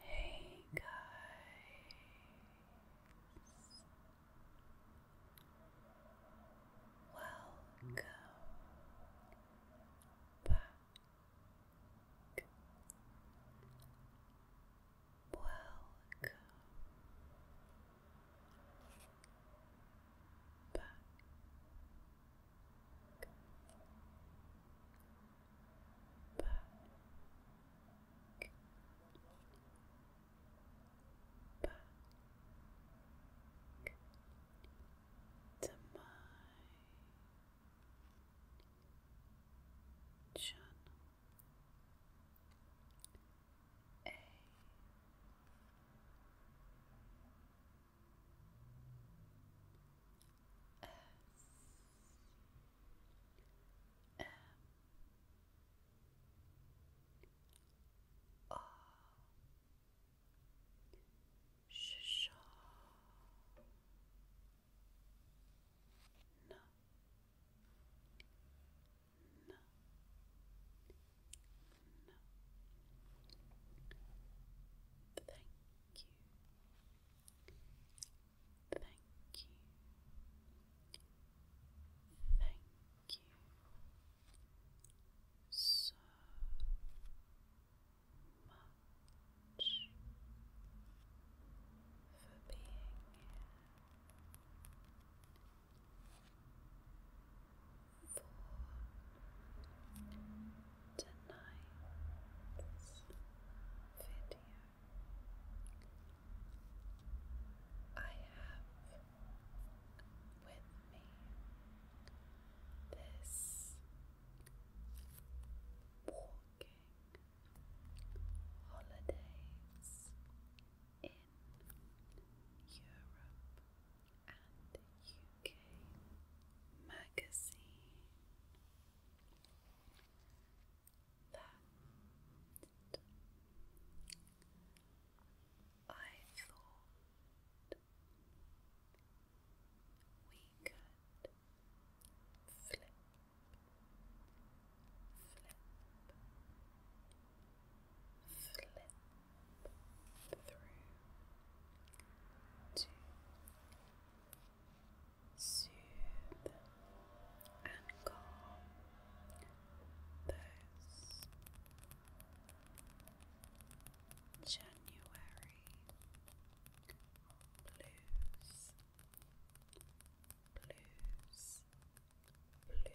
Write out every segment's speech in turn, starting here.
Hey guys, welcome back. Welcome back, back. Back to my channel A S M O Shh. No. No. Thank you. Thank you. Thank you so much for being here for tonight's video. I have with me this walking holidays in Europe and UK magazine. That I thought we could flip, flip, flip through to soothe and calm those January blues, blues, blues.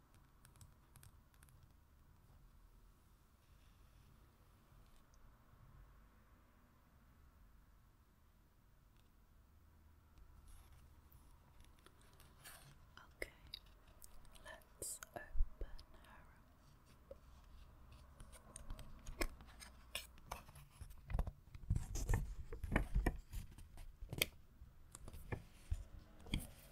Okay, let's open her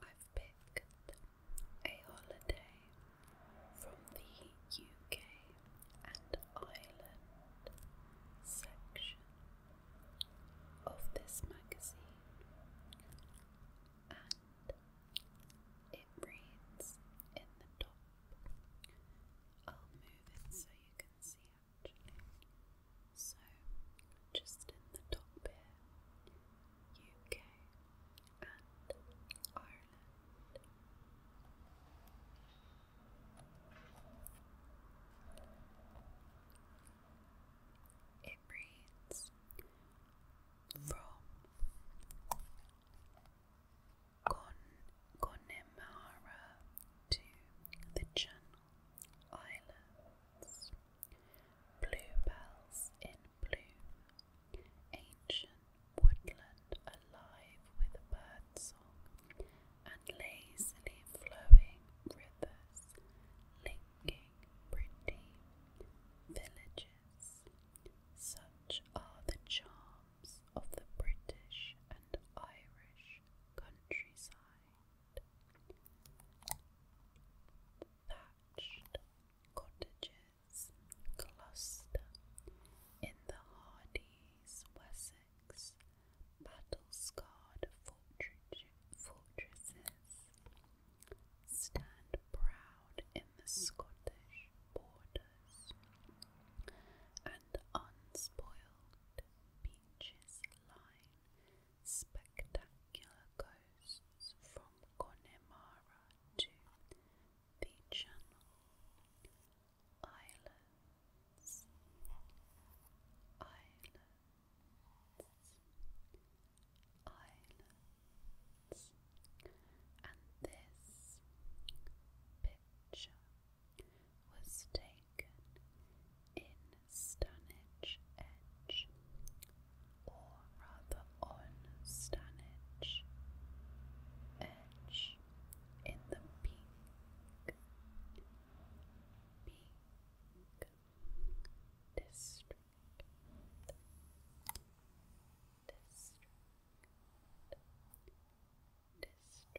I've picked a holiday from the UK and Ireland section of this magazine, and it reads in the top. I'll move it so you can see actually. So, just in the top here, UK and Ireland. It reads from Connemara to the Channel Islands. Bluebells in bloom, ancient woodland alive with bird song, and lazily flowing rivers, linking pretty villages. Such are the charms of the British and Irish countryside thatched cottages cluster in the Hardy's Wessex, battle scarred fortresses stand proud in the Scottish borders and unspoiled beaches line spectacular coasts from Connemara to the Channel Islands, Islands, Islands, and this picture was taken in Stanage Edge, or rather on Stanage Edge, in the pink, pink district. district. District, district,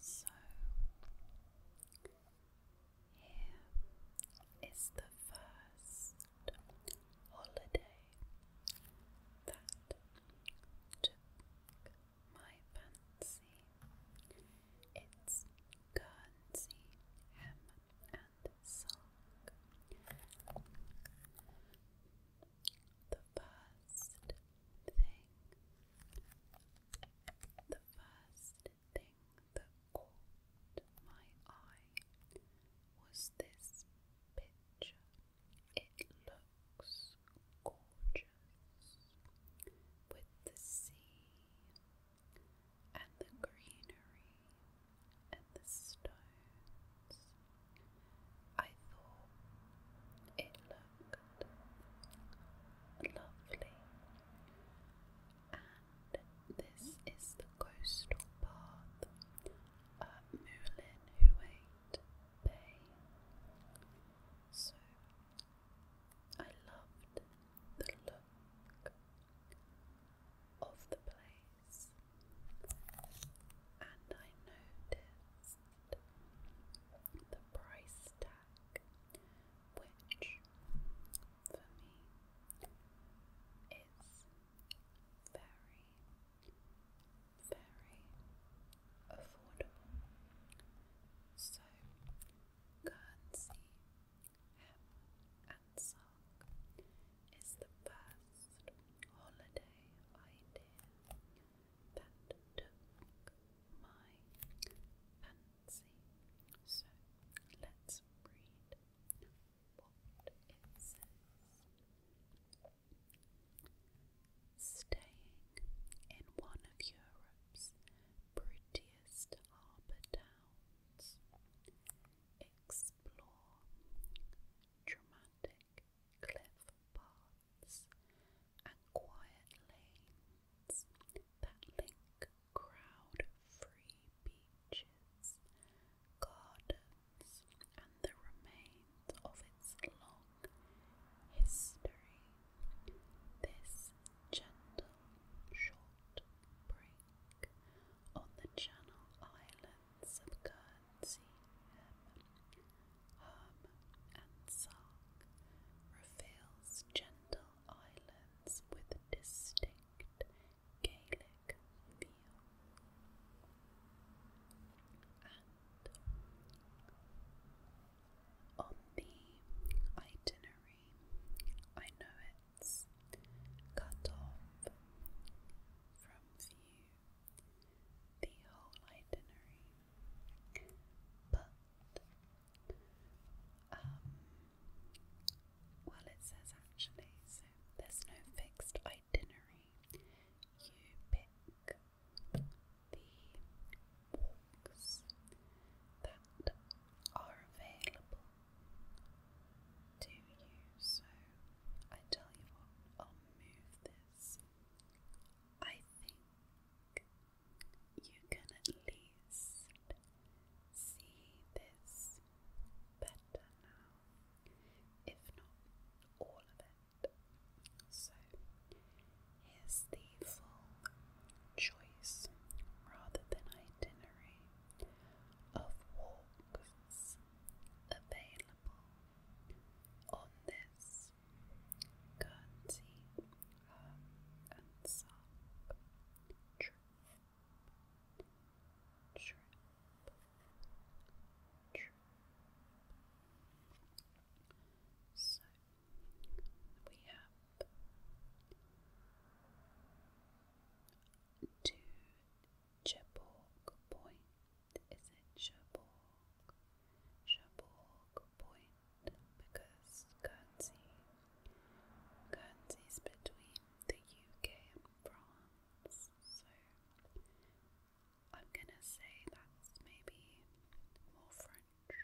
So here is the first holiday that took my fancy. Its currency, hem and silk. The first thing, the first thing that caught my eye was this picture it looks gorgeous with the sea and the greenery and the stones. I thought it looked lovely. And this is the coastal path uh, Moulin who ate Bay. So I loved the look of the place, and I noticed the price tag, which for me is very very affordable. So, Guernsey and Sark is the first holiday idea that took my fancy. So, let's read what it says. Staying in one of Europe's prettiest harbour towns, explore dramatic cliff paths and quiet lanes that link crowd-free beaches, and the remains of its long history. This gentle, short break on the Channel Islands of Guernsey, and Sark reveals gentle islands with distinct Gaelic feel. On the itinerary, I know it's cut off from view the whole itinerary, but um, well, it says actually, so there's no fixed itinerary. You pick the books that are available to you. So I tell you what, I'll move this. I think you can at least see this better now, if not all of it. So, here's the full choice rather than itinerary of walks available on this Guernsey um, and Sark trip. Trip. Trip. So we have to Is it Cherbourg? because Guernsey between the UK and France, so I'm gonna say that's maybe more French.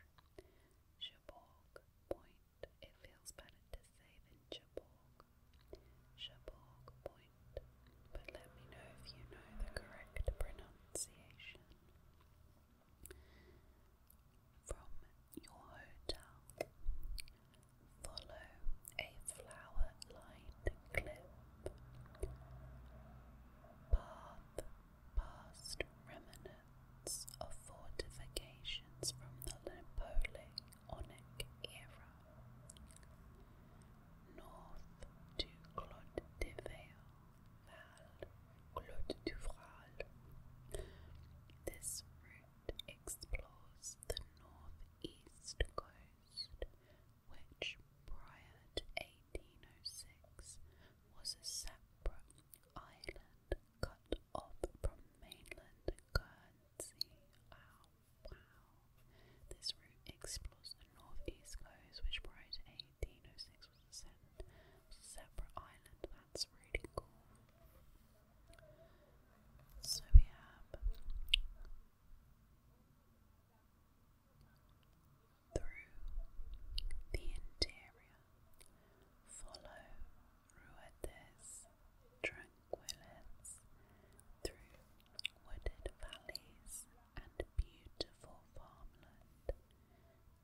Cherbourg Point. It feels better to say than Cherbourg. Cherbourg Point. But let me know if you know the correct pronunciation. From your hotel, follow a flower lined cliff. Par past remnants of fortifications from the Napoleonic era, north to Clot de Clot This route explores the northeast coast which prior to 1806 was a separate island cut off from mainland Guernsey. Oh, wow. This route explores the northeast coast, which prior to 1806 was a separate island. That's really cool. So we have through the interior. Follow Ruedes tranquillis through wooded valleys and beautiful farmland.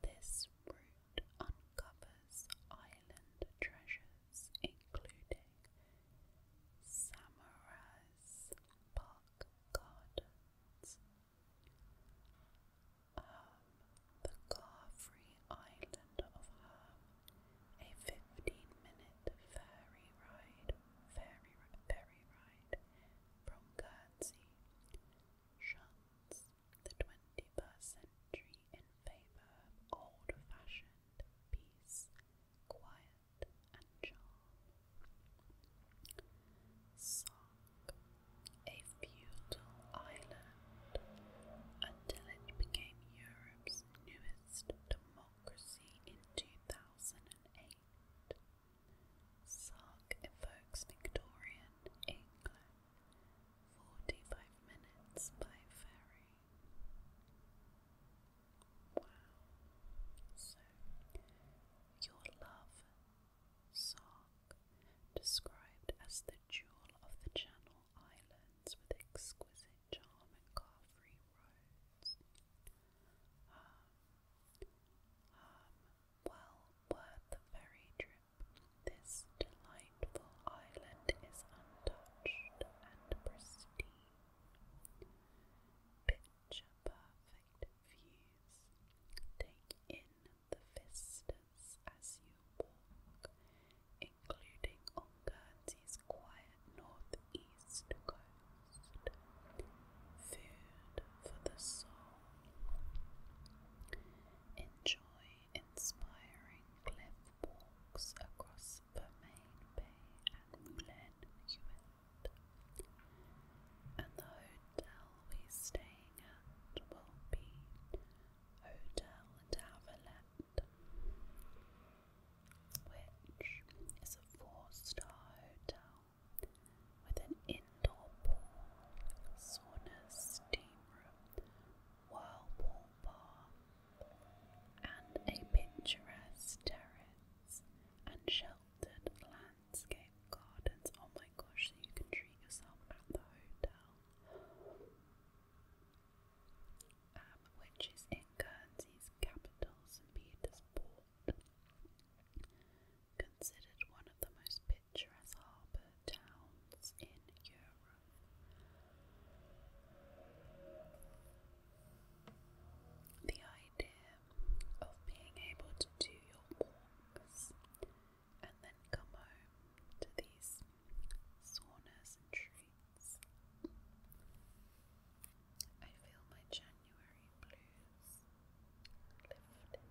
This route uncovers island treasures, including Samaras Park Gardens, Ham, the car island of Ham, a fifteen-minute ferry ride, ferry ferry ride from Guernsey, shuns the twenty-first century in favour of old-fashioned peace, quiet, and charm sunk a feudal island until it became Europe's newest democracy in 2008. Sark evokes Victorian England, 45 minutes by ferry. Wow. So, your love Sark, described as the jewel of the Channel Islands with exquisite charm and car-free roads. Um, um, well worth the ferry trip. This delightful island is untouched and pristine. Picture perfect views. Take in the vistas as you walk, including on quiet northeast coast. Food for the soul. Enjoy inspiring cliff walks across Vermain Bay and Moulin And the hotel We'll always staying at will be Hotel D'Avalette, which is a four-star hotel with an indoor pool, sauna, steam room, whirlpool bar, and a picturesque terrace and sheltered landscape landscape gardens. Oh my gosh, so you can treat yourself at the hotel. Um, which is in Guernsey's capital, St. Peter's Port. Considered one of the most picturesque towns in Europe. The idea of being able to do your walks and then come home to these saunas and treats. I feel my January blues lifting, lifting, lifting.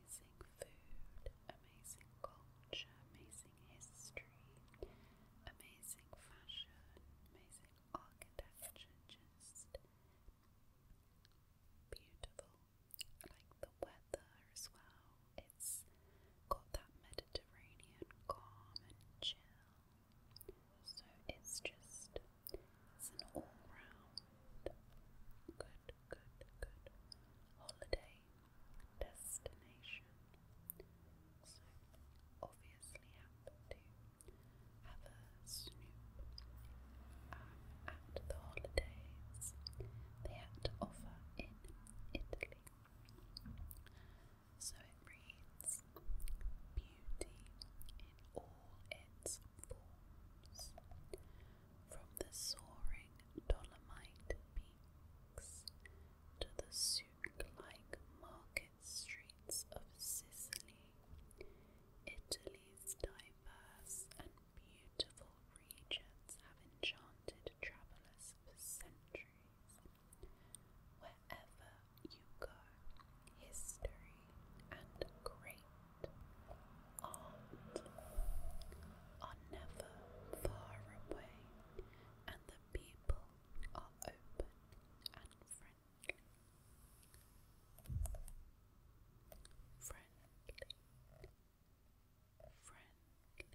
amazing food, amazing culture, amazing history, amazing fashion, amazing architecture, just beautiful. Like the weather as well, it's got that Mediterranean calm and chill. So it's just it's an all round good, good, good holiday destination. So, obviously, have to have a snoop um, at the holidays they had to offer in Italy. So it reads Beauty in all its from the soaring Dolomite peaks to the souk-like market streets of Sicily. Italy's diverse and beautiful regions have enchanted travelers for centuries. Wherever you go, history and great art are never far away, and the people are open and friendly. Friendly, friendly, friendly, friendly.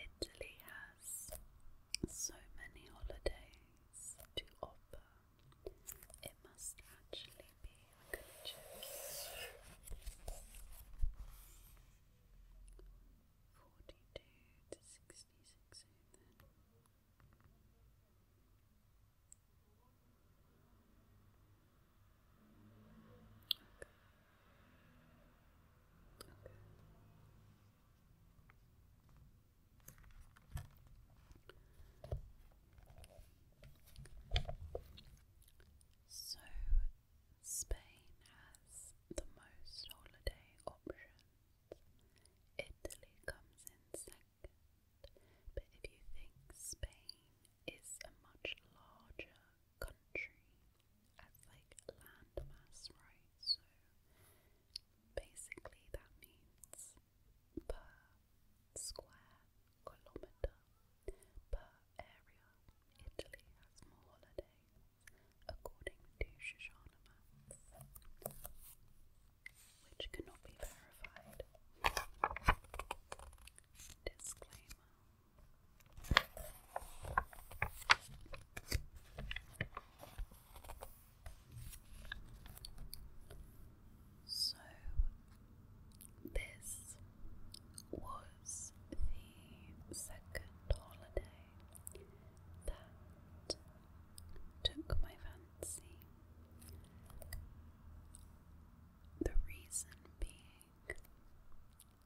Italy has so many holidays has to offer. It must actually be, I'm going to check Forty two to sixty six then. Okay. Okay. So, Spain has the most holiday options. Italy comes in second, but if you think Spain is a much larger country as like landmass, right? Basically, that means per square kilometre per area. Italy has more holidays, according to Shoshana which cannot be verified. Disclaimer. So, this was the second holiday that took my fancy. The reason being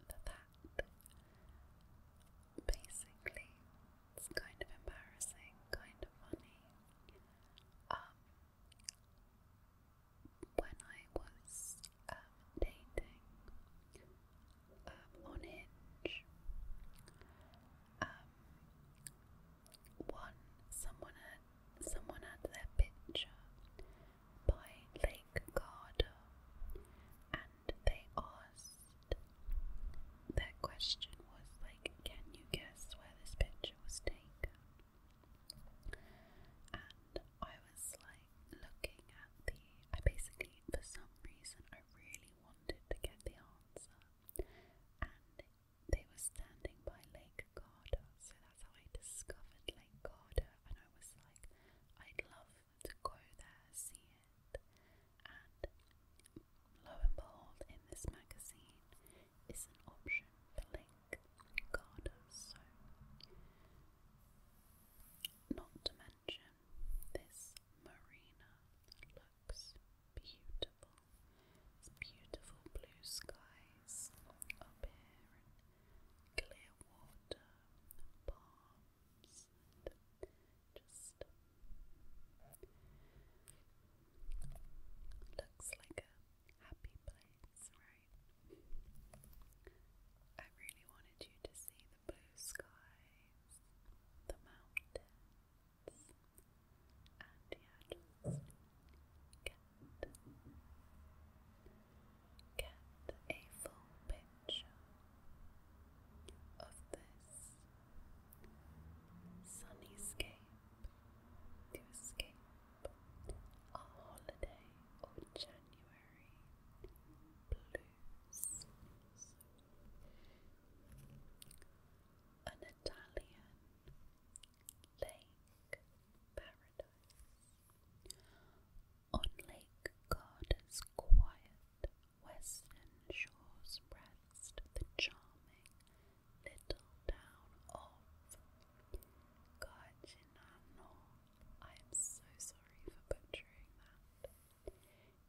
that basically. It's kind of embarrassing, kind of funny. Um, when I was um, dating um, on Hinge, one someone had someone had their picture by Lake Garda, and they asked that question was like, can you guess where this picture was taken? And I was like looking at the. I basically, for some reason, I really wanted to get the answer. And they were standing by Lake Garda, so that's how I discovered Lake Garda. And I was like, I'd love to go there, see it. Lo and behold, in this magazine is an option for Link Garda So. Not to mention, this marina looks beautiful. It's beautiful blue skies clear water palms just looks like a happy place, right? I really wanted you to see the blue skies, the mountains, and yeah, just get get a full picture of this Sunny escape to escape a holiday or January blues. An Italian lake paradise on Lake Garda's quiet western shores rest the charming little town of Gardinano. I am so sorry for butchering that.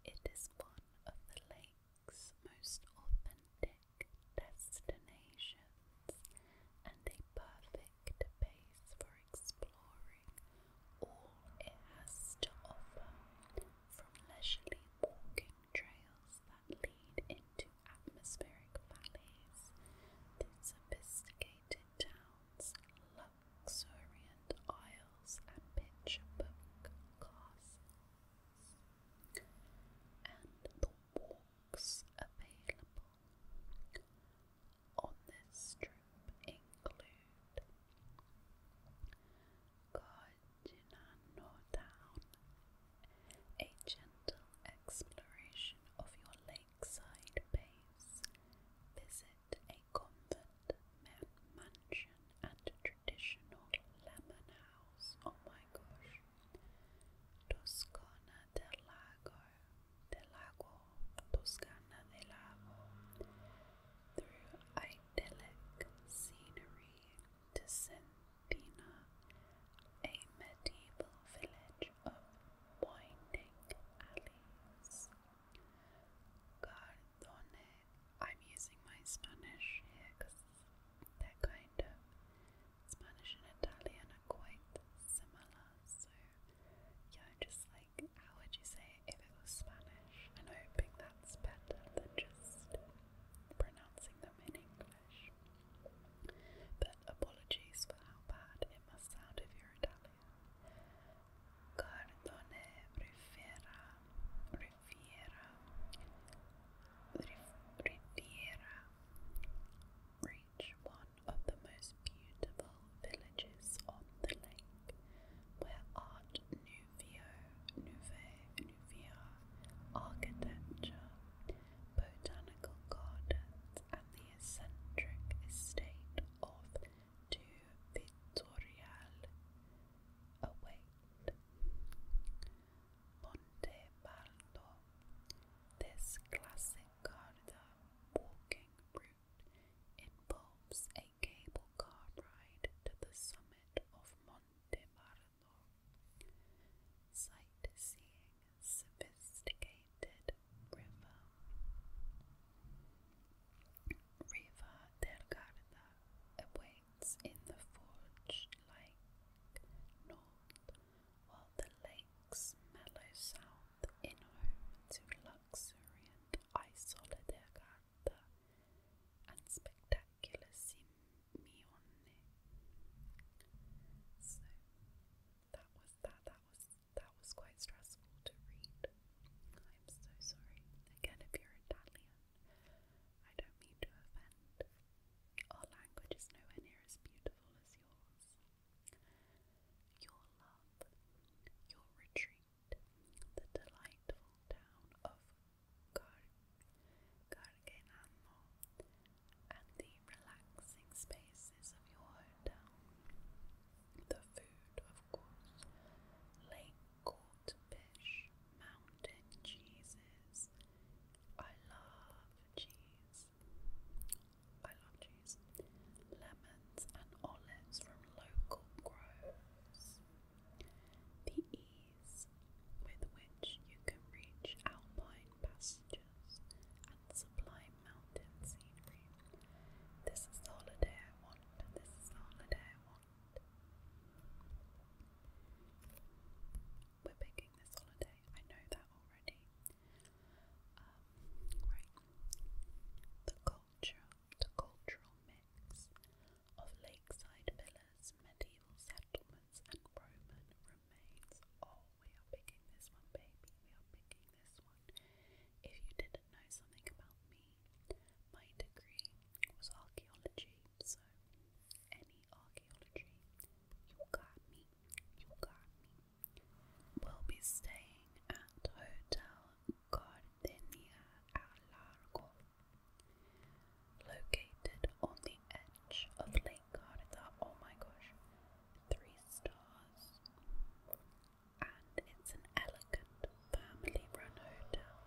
It is one of the lake's most authentic destinations and a perfect base for exploring all it has to offer, from leisurely walking trails that lead into atmospheric valleys, through sophisticated towns, luxuriant aisles, and picture book classes, and the walks available on this strip include Cardinano Town, a gentle exploration of your lakeside base. Visit a convent mansion and traditional lemon house. Oh my gosh. Through idyllic scenery Descendina, a medieval village of winding alleys. Cardone, I'm using my Spanish here because they kind of Spanish and Italian are quite similar, so yeah, just like how would you say it if it was Spanish? I'm hoping that's better than just pronouncing them in English. But apologies for how bad it must sound if you're Italian. Cardone Riviera, Riviera, Riviera. Reach one of the most beautiful villages on the lake, where Art Nouveau Nouveau, Nouveau, Nouvia architecture, botanical gardens, and the eccentric estate of Du Vittoriale await. Oh, Monte Baldo. This classic Garda walking route involves a cable car ride to the summit of Monte Baldo. Sightseeing sophisticated river. Riva del Garda awaits in the forge like north, while the lake's mellow sound in home to luxuriant Isola del Garda and spectacular sim me onne. So that was that. That was that was quite stressful to read. I'm so sorry. Again, if you're Italian, I don't mean to offend. Our language is nowhere near as beautiful as yours. Your love, your retreat, the delightful town of car Cargenamo and the relaxing spaces of your hometown. The food, of course, lake caught fish, mountain cheeses. I love cheese. I love cheese. Lemons and olives from local groves. The with which you can reach alpine pastures and sublime mountain scenery. This is the holiday I want, this is the holiday I want. We're picking this holiday, I know that already. Um, right. The culture, the cultural mix of lakeside villas medieval settlements and Roman remains. Oh, we are picking this one, baby. We are picking this one. If you didn't know something about me, my degree was archaeology, so any archaeology, you got me, you got me. We'll be staying at Hotel Gardenia al Located on the edge of Lake Garda, oh my gosh, three stars. And it's an elegant family run hotel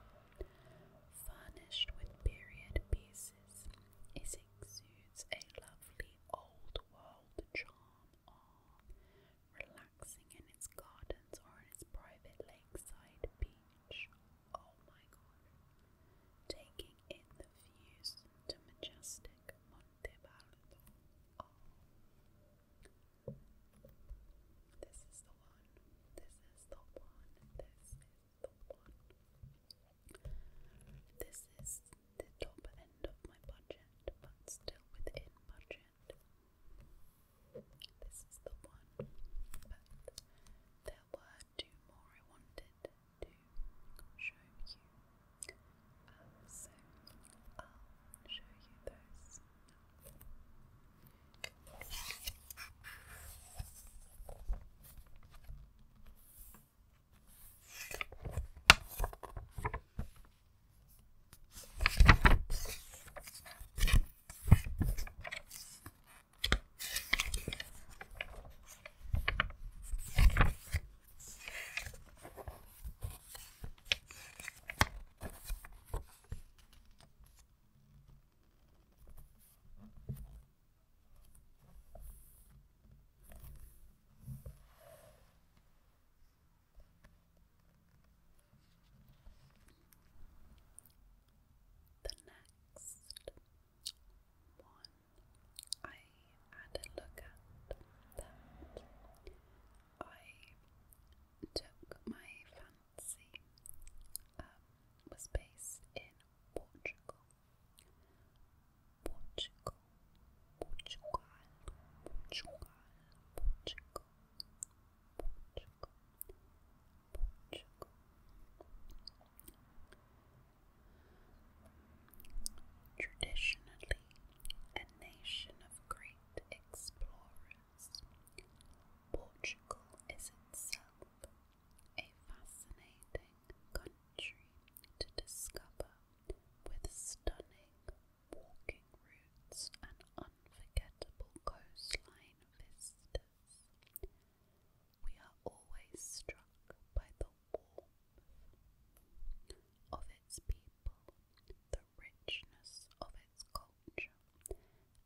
furnished with period pieces. It exudes a lovely old world charm. relaxing in its gardens or in its private lakeside beach. Oh my god. Taking in the views to majestic Monte Baldo. This is the one. This is the one. This is the one. This is the top end of my budget, but still within budget. This is the one, there were uh, more I wanted to show you. Um, so I'll show you those the next one I had a look at that. I took my fancy um, was based in Portugal. Portugal, Portugal, Portugal, Portugal, Portugal, Portugal. Traditionally, a nation of great explorers, Portugal is itself a fascinating country to discover with stunning walking routes and unforgettable coastline vistas we are always struck by the warmth of its people, the richness of its culture,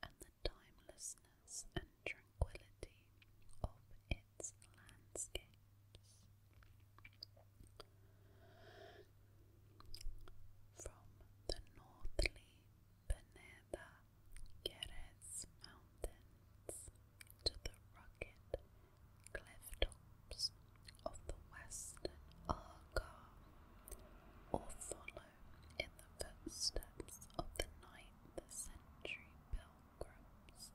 and the timelessness and tranquility of its landscapes. From the northly Peneda Jerez Mountains to the rugged cliff tops of the western Argar, or follow in the footsteps of the ninth century pilgrims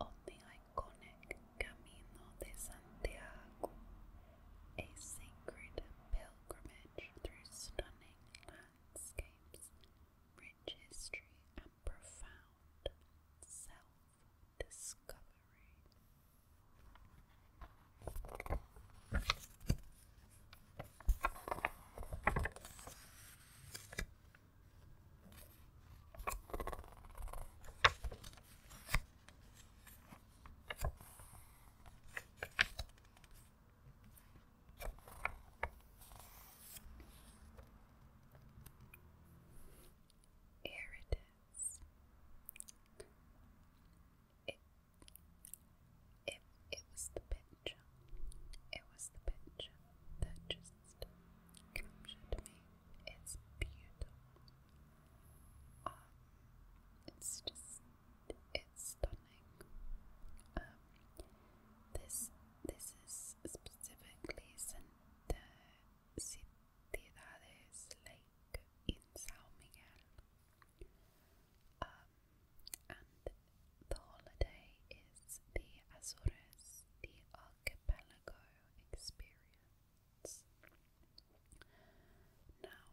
on the iconic Camino de Santiago, a sacred pilgrimage through stunning landscapes, rich history, profound self discovery. Here it is. It, it, it was the picture. It was the picture that just captured me. It's beautiful. Um, it's just, it's stunning. Um, this this is specifically Santa Ciudades Lake in Sao Miguel. Um, and the holiday is the Azores, the Archipelago experience. Now,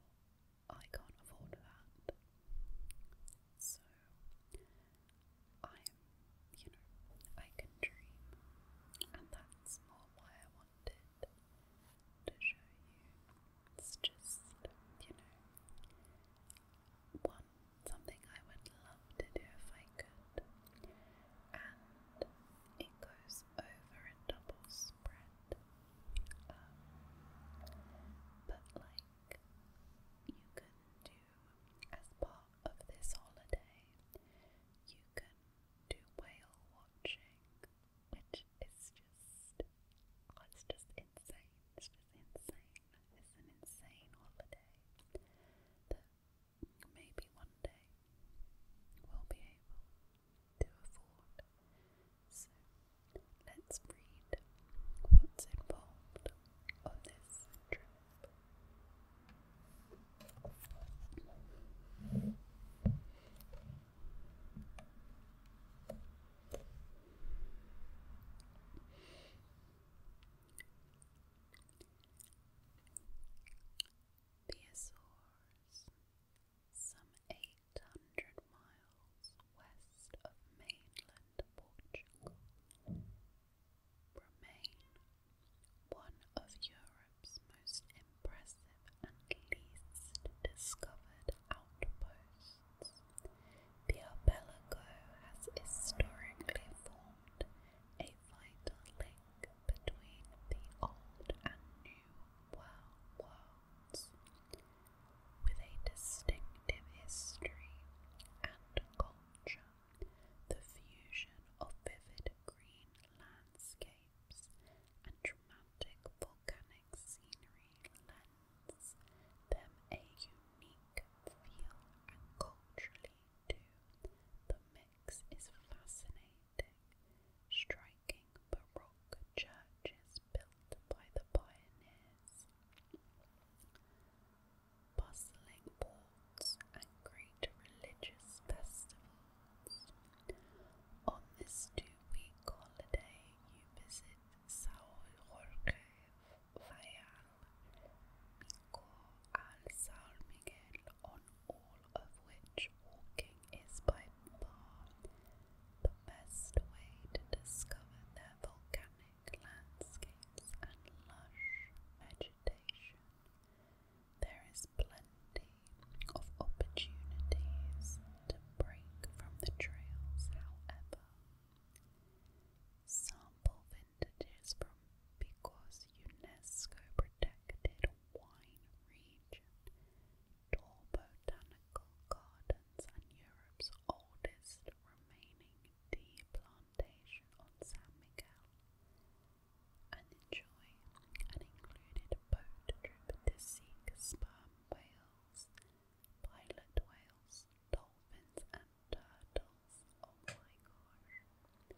I can't afford that. So, I'm, you know, I can dream, and that's more why I wanted to show you. It's just, you know, one something I would love to do if I could, and it goes over a double spread, um, but like you can do as part of this holiday, you can do whale watching, which is just, oh, it's just insane. It's just insane. It's an insane holiday that maybe one day we'll be able to afford. let's read what's involved on this trip. some eight hundred miles west of mainland Portugal, remain one of Europe's most impressive and least discovered outposts. The archipelago has historically formed a vital link between the old and new world worlds, with a distinctive history and culture. The fusion of vivid green landscapes and dramatic volcanic scenery lends them a unique feel, and culturally, too, the mix is fascinating. Striking Baroque churches built by the pioneers bustling ports, and great religious festivals. On this two-week holiday, you visit São Jorge, Fayal, Mico, and São Miguel, on all of which walking is by far the best way to discover their volcanic landscapes and lush vegetation. There is plenty of opportunities to break from the trails, however. Sample vintages from because UNESCO protected wine region, Tor Botanical Gardens, and Europe's oldest remaining tea plantation on San Miguel and enjoy an included boat trip to seek sperm whales, pilot whales, dolphins, and turtles. Oh my gosh!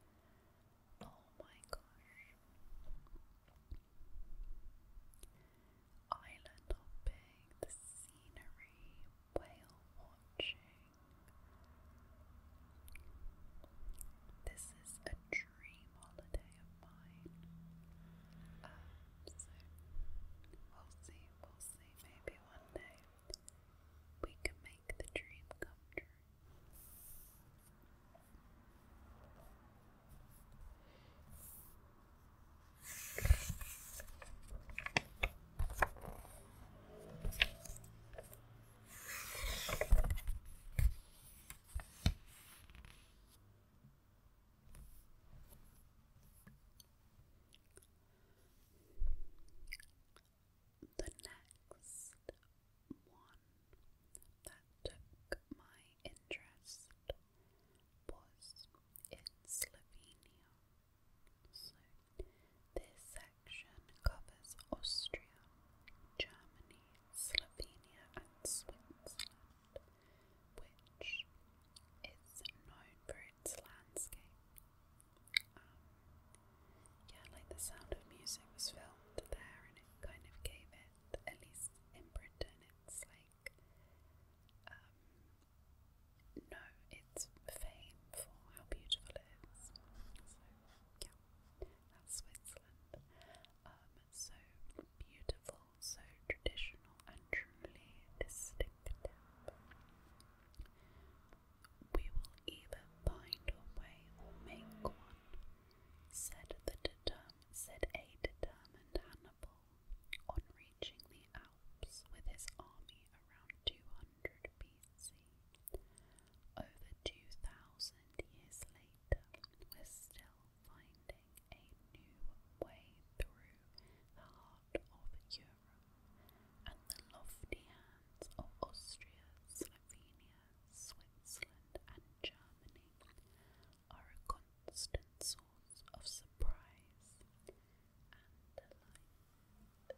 Oh my gosh! Island hopping, the scenery, whale watching, this is a dream holiday of mine. Uh, so we'll see, we'll see. Maybe one day we can make the dream come true. The next one that took my interest was in Slovenia. This section covers Austria, Germany, Slovenia, and Switzerland, which is known for its landscape. Um, yeah, like the sound of music was filmed there, and it kind of gave it, at least in Britain, it's like, um, no, it's fame for how beautiful it is. So, yeah. That's Switzerland. Um, so beautiful, so traditional, and truly distinct. We will either find a way or make one, said the determined, said a determined Hannibal on reaching the Alps with his army around 200 over 2,000 years later, we're still finding a new way through the heart of Europe, and the lofty hands of Austria, Slovenia, Switzerland, and Germany are a constant source of surprise and delight.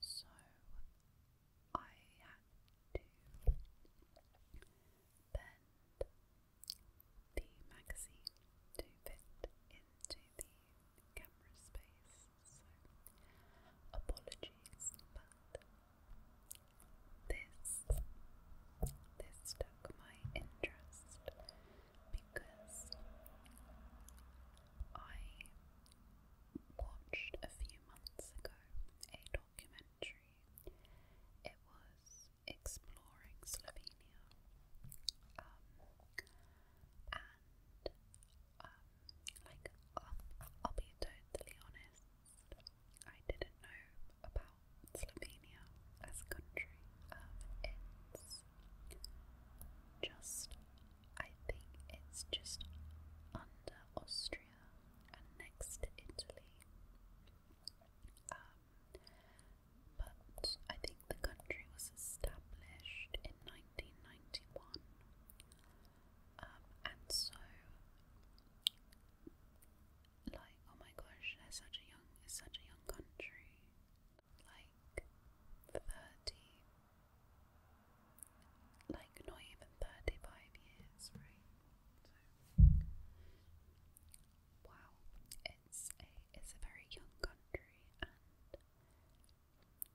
So I had to bend the magazine to fit into the camera space. So apologies, but this this took my interest because I watched a few months ago a documentary. It was exploring Slovenia, um, and um, like I'll, be totally honest, I didn't know about Slovenia as a country. Um, it's just I think it's just under Austria and next to Italy. Um, but I think the country was established in 1991, um, and so, like, oh my gosh, they such a young, it's such a young country, like 30, like not even 35 years, right? wow, it's a, it's a very young country, and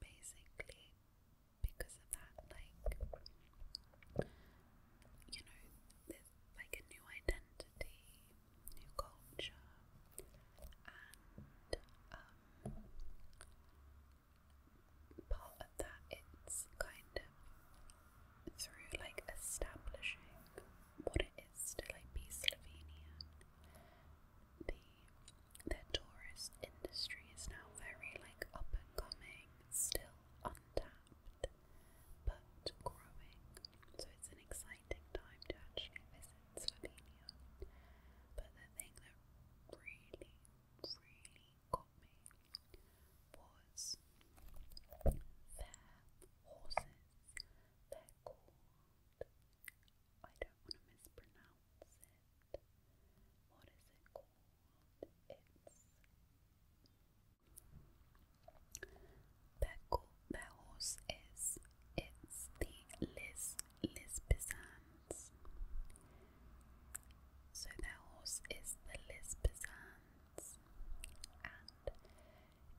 basically, because of that, like, you know, there's like a new identity, new culture, um, part of that it's kind of through like establishing what it is to like be Slovenia. The tourist industry is now very like up and coming, still untapped but growing. So it's an exciting time to actually visit Slovenia. But the thing that really, really got me was their horses. They're I don't want to mispronounce it. What is it called? It's their, their horse is it's the Liz Liz so their horse is the Lisbazans, and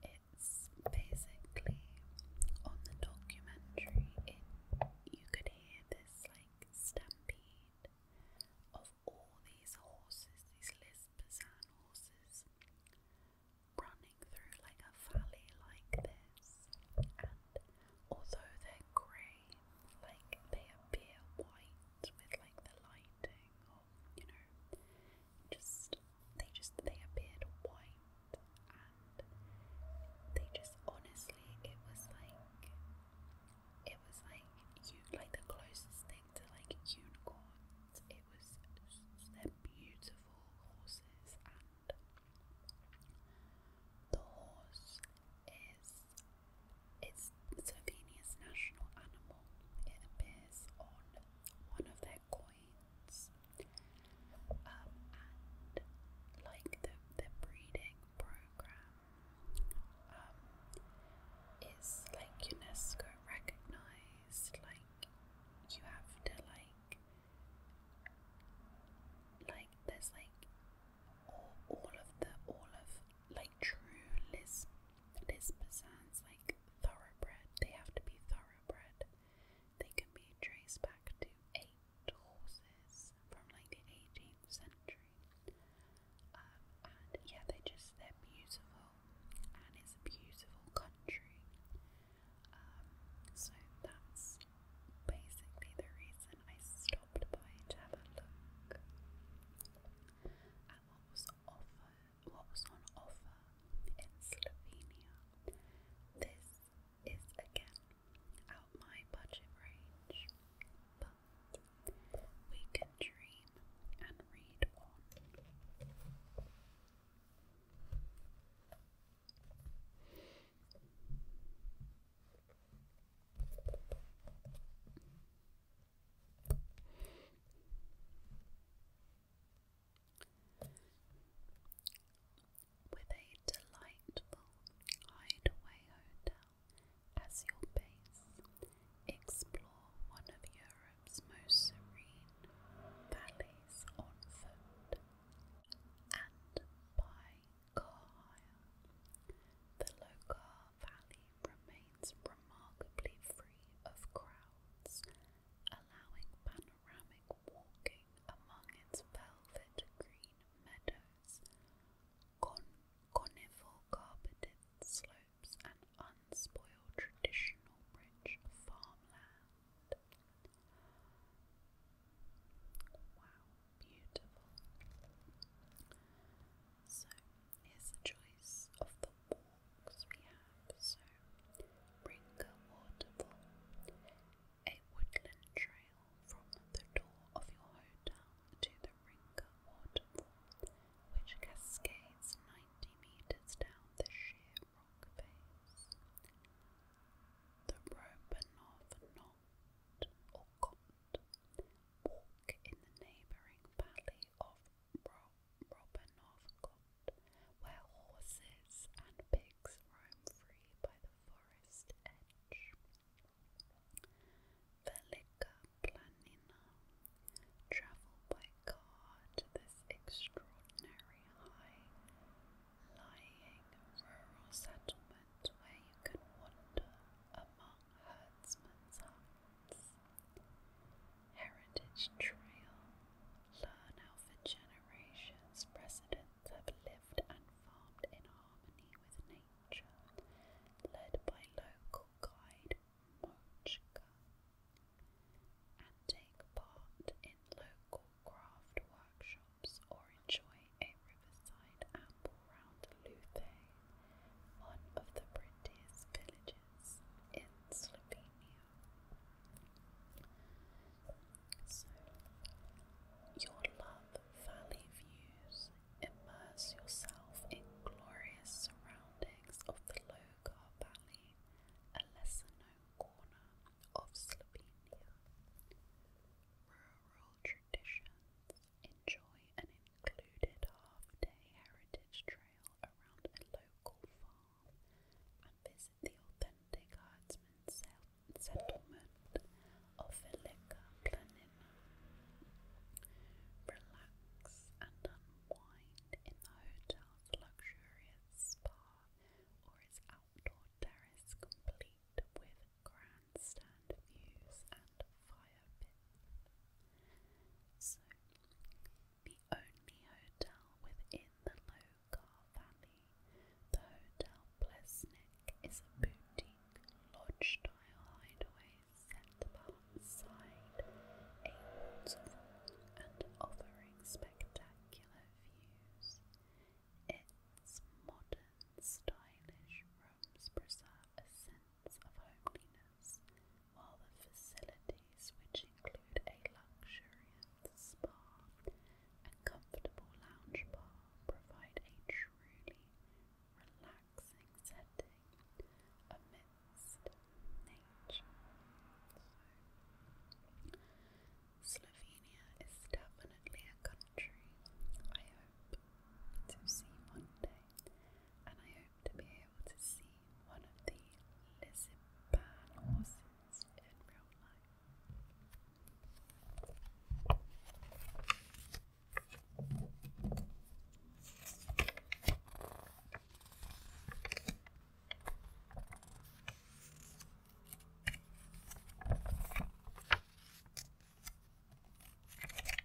it's basically on the documentary. you could hear this like stampede of all these horses, these Lisbazan horses, running through like a valley like this, although they're grey, like they appear white with like the lighting, or you know, just they just they appeared white, and they just honestly, it was like it was like you like the closest thing to like unicorns. It was they're beautiful horses the horse is it's Slovenia's national animal. It appears on one of their coins. Um, and like the, the breeding program um, is like UNESCO recognized, like you have to like like there's like all of the all of like true Lis Lisbazans, like thoroughbred. They have to be thoroughbred. They can be traced back to eight horses from like the 18th century. Um, and yeah, they just they're beautiful, and it's a beautiful country. Um, so that's basically the reason I stopped by to have a look at what was on offer in Slovenia. This is again out my budget range, but we can dream and read on. With a delightful hideaway hotel as your base, explore one of Europe's most serene valleys on foot and by the Lokar Valley remains remarkably free of crowds, allowing panoramic walking among its velvet green meadows, con conifer-carpeted slopes, and unspoiled traditional rich farmland. Wow, beautiful. So here's the choice of the walks we have. So Bringer Waterfall, a woodland trail from the door of your hotel to the Ringer Waterfall, which cascades 90 meters down the sheer rock face. The Rope North John Orcott, walk in the neighbouring valley of Robanovcott, where horses and pigs roam free by the forest edge. Velika Planina, travel by car to this extraordinary high-lying rural settlement where you can wander among herdsmen's huts. Heritage Trail. Learn how for generations residents have lived and farmed in harmony with nature, led by local guide Mochka. And take part in local craft workshops or enjoy a riverside apple around Luthe, one of the prettiest villages in Slovenia. So, your love valley views immerse yourself in glorious surroundings of the Logar Valley, a lesser known corner of Slovenia. Rural traditions enjoy an included half-day heritage trail around a local farm and visit the authentic herdsman settlement of Velika Planina. Relax and unwind in the hotel's luxurious spa or its outdoor terrace complete with grandstand views and fire pits the only hotel within the Logar Valley, the Hotel Plesnik, is a boutique lodge-style hideaway set outside a waterfall and offering spectacular views. Its modern, stylish rooms preserve a sense of homeliness, while the facilities, which include a luxuriant spa and comfortable lounge bar, provide a truly relaxing setting amidst nature. Slovenia is definitely a country I hope to see one day and I hope to be able to see one of the Lisbon horses in real life.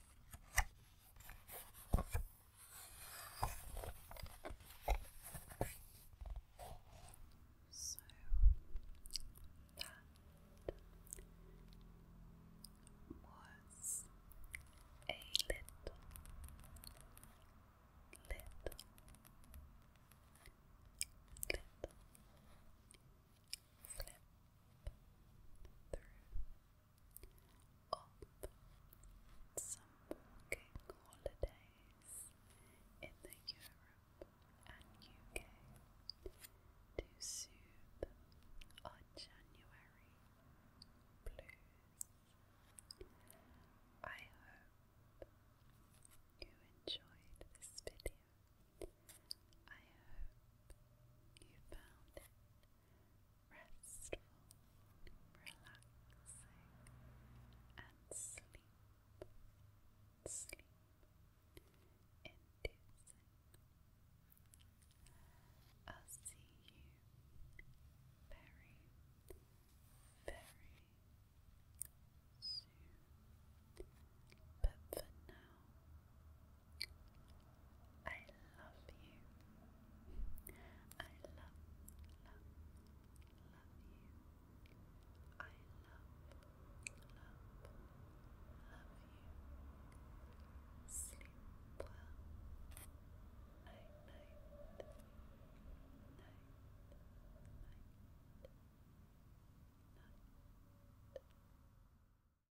So that was a little, little, little flip through some walking holidays in Europe and UK to soothe our January blues. I hope you enjoyed this video I hope you found it restful, relaxing, and sleep, sleep inducing. I'll see you very, very soon. But for now, I love you. I love, love, love you. I love, love, love you. Sleep well. Night, night, night, night, night.